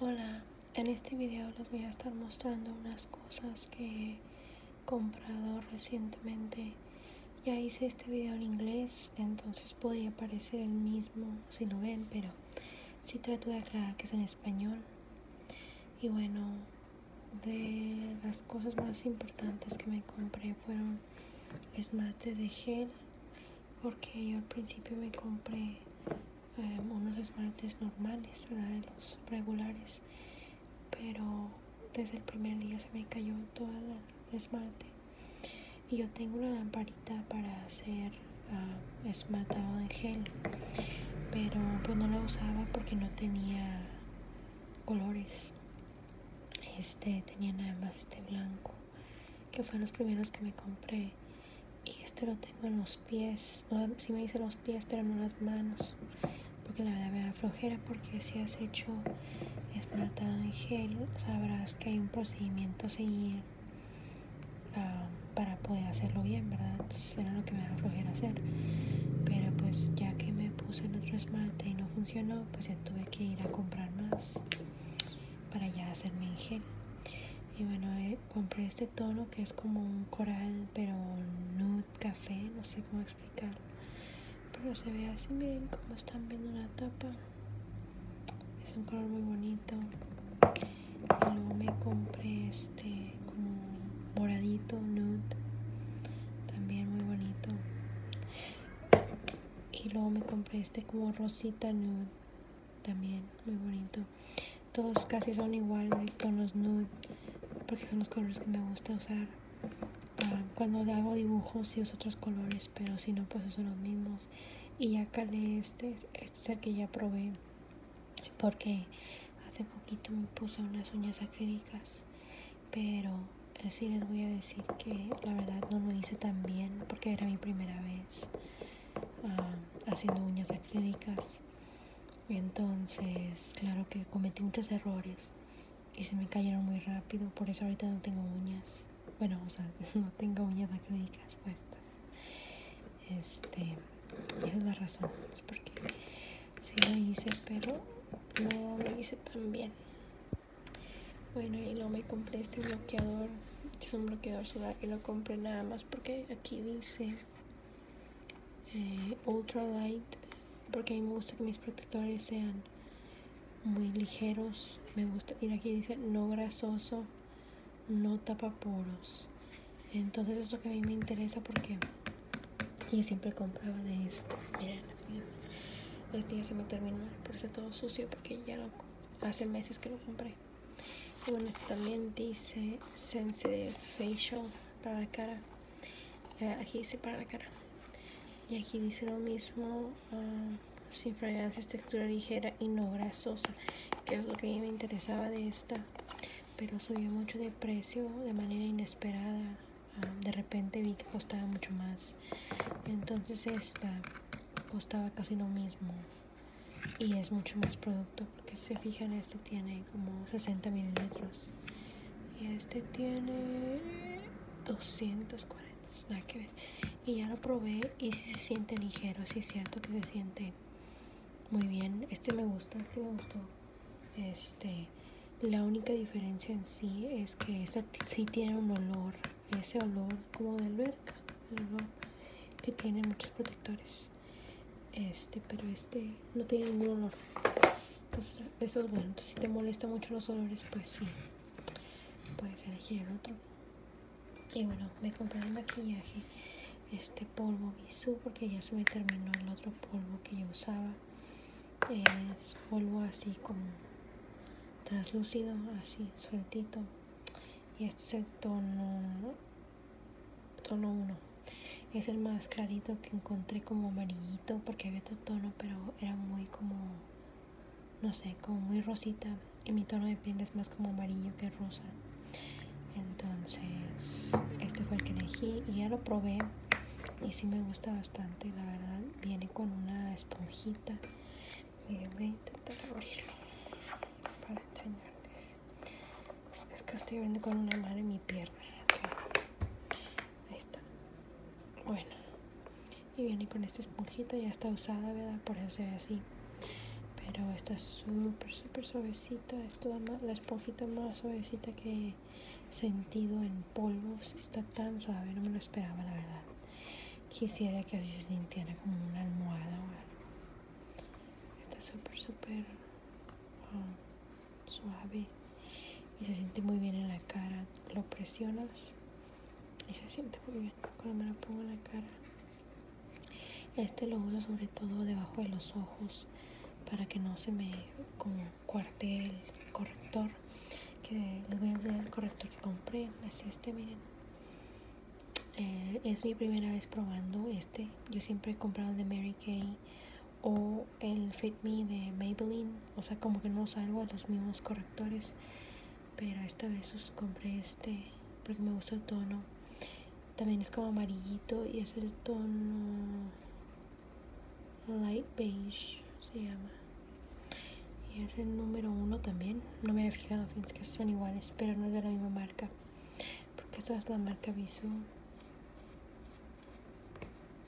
Hola, en este video les voy a estar mostrando unas cosas que he comprado recientemente. Ya hice este video en inglés, entonces podría parecer el mismo si lo ven, pero sí trato de aclarar que es en español. Y bueno, de las cosas más importantes que me compré fueron esmates de gel, porque yo al principio me compré Em, unos esmaltes normales, De los regulares. Pero desde el primer día se me cayó toda el esmalte. Y yo tengo una lamparita para hacer ah, esmaltado en gel. Pero pues no la usaba porque no tenía colores. Este tenía nada más este blanco que fue los primeros que me compré. Y este lo tengo en los pies, si me hice los pies, pero no las manos, porque la verdad me da flojera, porque si has hecho esmaltado en gel, sabrás que hay un procedimiento a seguir ah, para poder hacerlo bien, ¿verdad? Entonces era lo que me da flojera hacer. Pero pues ya que me puse en otro esmalte y no funcionó, pues ya tuve que ir a comprar más para ya hacerme en gel y bueno eh, compré este tono que es como un coral pero nude café no sé cómo explicarlo pero se ve así bien como están viendo la tapa es un color muy bonito y luego me compré este como moradito nude también muy bonito y luego me compré este como rosita nude también muy bonito todos casi son igual tonos nude porque son los colores que me gusta usar ah, cuando hago dibujos y uso otros colores pero si no pues son los mismos y acá calé este este es el que ya probé porque hace poquito me puse unas uñas acrílicas pero eh, si les voy a decir que la verdad no lo hice tan bien porque era mi primera vez Ah, haciendo uñas acrílicas. Entonces, claro que cometí muchos errores y se me cayeron muy rápido, por eso ahorita no tengo uñas. Bueno, o sea, no tengo uñas acrílicas puestas. Este, esa es la razón, es porque sí lo hice, pero no lo hice tan bien. Bueno, y luego me compré este bloqueador, que es un bloqueador solar, y lo compré nada más porque aquí dice eh, Ultra Light, porque a mí me gusta que mis protectores sean muy ligeros, me gusta, y aquí dice no grasoso, no tapa poros. Entonces es lo que a mí me interesa porque yo siempre compraba de esto Miren, Este ya se me terminó, por todo sucio porque ya lo hace meses que lo compré y bueno este también dice de facial para la cara eh, aquí dice para la cara y aquí dice lo mismo ah, sin fragancias textura ligera y no grasosa que es lo que a mí me interesaba de esta pero subió mucho de precio de manera inesperada ah, de repente vi que costaba mucho más entonces esta costaba casi lo mismo y es mucho más producto porque si se fijan este tiene como 60 mililitros y este tiene 240 nada que ver y ya lo probé y si se siente ligero si es cierto que se siente muy bien este me gusta este me gustó este la única diferencia en sí es que este sí tiene un olor ese olor como de alberca que tiene muchos protectores este pero este no tiene ningún olor entonces eso es bueno si te molesta mucho los olores pues sí puedes elegir el otro y bueno me compré el maquillaje este polvo bisú porque ya se me terminó el otro polvo que yo usaba es polvo así como translúcido, así, sueltito. Y este es el tono, tono 1. Es el más clarito que encontré como amarillito porque había otro tono, pero era muy como, no sé, como muy rosita. Y mi tono de piel es más como amarillo que rosa. Entonces, este fue el que elegí y ya lo probé. Y sí me gusta bastante, la verdad. Viene con una esponjita Miren, eh, voy a intentar abrirlo para enseñarles. Es que estoy abriendo con una mano en mi pierna. Ahí está. Bueno. Y viene con esta esponjita, ya está usada, ¿verdad? Por eso se ve así. Pero está súper, súper suavecita. Es la esponjita más suavecita que he sentido en polvos. Está tan suave, no me lo esperaba, la verdad. Quisiera que así se sintiera como una almohada o Está súper, súper ah, suave y se siente muy bien en la cara. Lo presionas y se siente muy bien cuando me lo pongo en la cara. Este lo uso sobre todo debajo de los ojos para que no se me con cuartel, corrector, que el corrector que compré, es este, miren. Eh, es mi primera vez probando este, yo siempre he comprado el de Mary Kay o el Fit Me de Maybelline, o sea, como que no salgo a los mismos correctores, pero esta vez compré este porque me gusta el tono. También es como amarillito y es el tono Light Beige se llama. Y es el número uno también. No me había fijado, fíjense que son iguales, pero no es de la misma marca. Porque esta es la marca Visu.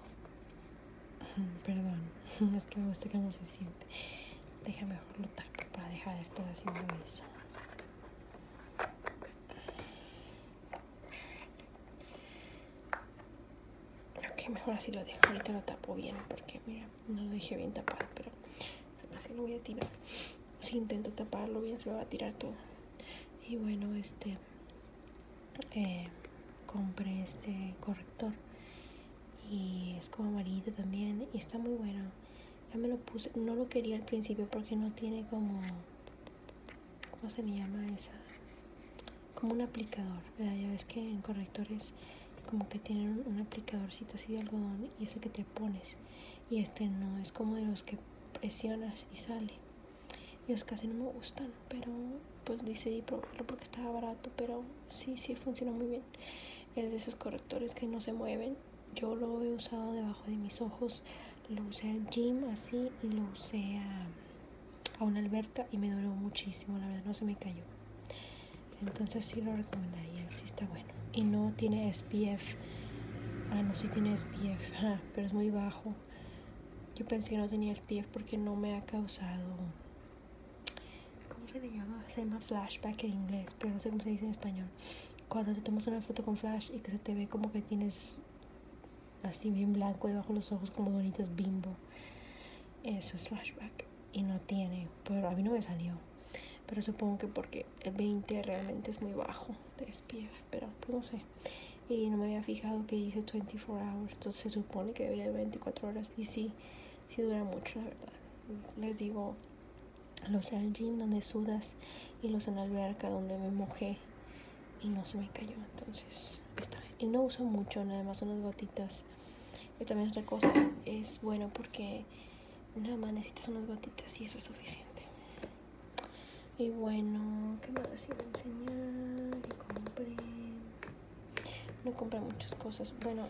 Perdón, es que me gusta no se siente. Déjame mejor lo para dejar de estar haciendo eso que mejor así lo dejo. Ahorita lo tapo bien porque, mira, no lo dejé bien tapado, pero así lo voy a tirar. Si intento taparlo bien, se me va a tirar todo. Y bueno, este... Eh, compré este corrector y es como amarillo también y está muy bueno ya me lo puse no lo quería al principio porque no tiene como cómo se llama esa como un aplicador, Ya ves que en correctores como que tienen un, aplicadorcito así de algodón y eso que te pones. Y este no, es como de los que presionas y sale. Y los casi no me gustan, pero pues decidí probarlo porque estaba barato, pero sí, sí funcionó muy bien. Es de esos correctores que no se mueven. Yo lo he usado debajo de mis ojos, lo usé al gym así y lo usé a a una alberta y me duró muchísimo, la verdad no se me cayó. Entonces sí lo recomendaría, si está bueno. Y no tiene SPF. Ah, no, si tiene SPF, ah, pero es muy bajo. Yo pensé que no tenía SPF porque no me ha causado... ¿Cómo se le llama? Se llama flashback en inglés, pero no sé cómo se dice en español. Cuando te tomas una foto con flash y que se te ve como que tienes así bien blanco debajo de los ojos como donitas bimbo. Eso es flashback y no tiene, pero a mí no me salió. Pero supongo que porque el 20 realmente es muy bajo de SPF, pero pues, no sé. Y no me había fijado que dice 24 hours, entonces se supone que debería de 24 horas y sí, sí dura mucho, la verdad. Les digo, los en el gym donde sudas y los en la alberca donde me mojé y no se me cayó entonces está y no uso mucho nada más unas gotitas y también otra cosa es bueno porque nada más necesitas unas gotitas y eso es suficiente y bueno, ¿qué más iba a enseñar? Y compré. No compré muchas cosas. Bueno,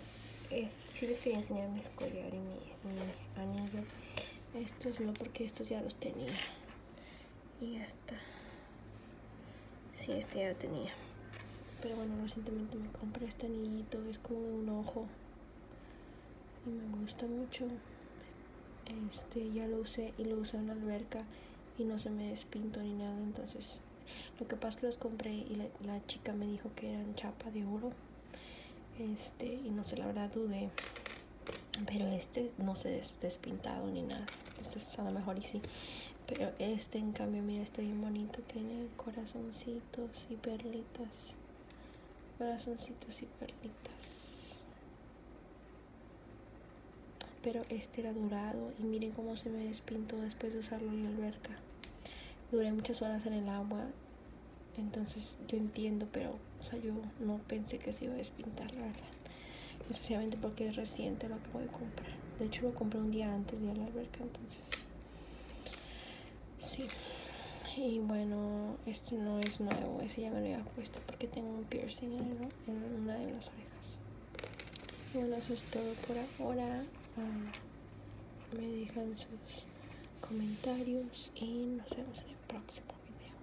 si sí les quería enseñar mi collar y mi, anillo. Estos no, porque estos ya los tenía. Y está si este ya lo tenía. Pero bueno, recientemente me compré este anillito, es como un ojo. Y me gusta mucho. Este, ya lo usé y lo usé en la alberca y no se me despinto ni nada, entonces lo que pasa es que los compré y la, la, chica me dijo que eran chapa de oro. Este, y no sé, la verdad dudé. Pero este no se despintado ni nada. Entonces a lo mejor y sí. Pero este en cambio, mira, está bien bonito. Tiene corazoncitos y perlitas. Corazoncitos y perlitas. Pero este era durado y miren cómo se me despintó después de usarlo en la alberca. Duré muchas horas en el agua. Entonces yo entiendo, pero o sea, yo no pensé que se iba a Pintar la verdad. Especialmente porque es reciente lo que a comprar. De hecho, lo compré un día antes de ir a la alberca, entonces. Sí. Y bueno, este no es nuevo, ese ya me lo había puesto porque tengo un piercing en, una de las orejas. bueno, eso es todo por ahora. Ah, me dejan sus comentarios y nos vemos en el próximo video.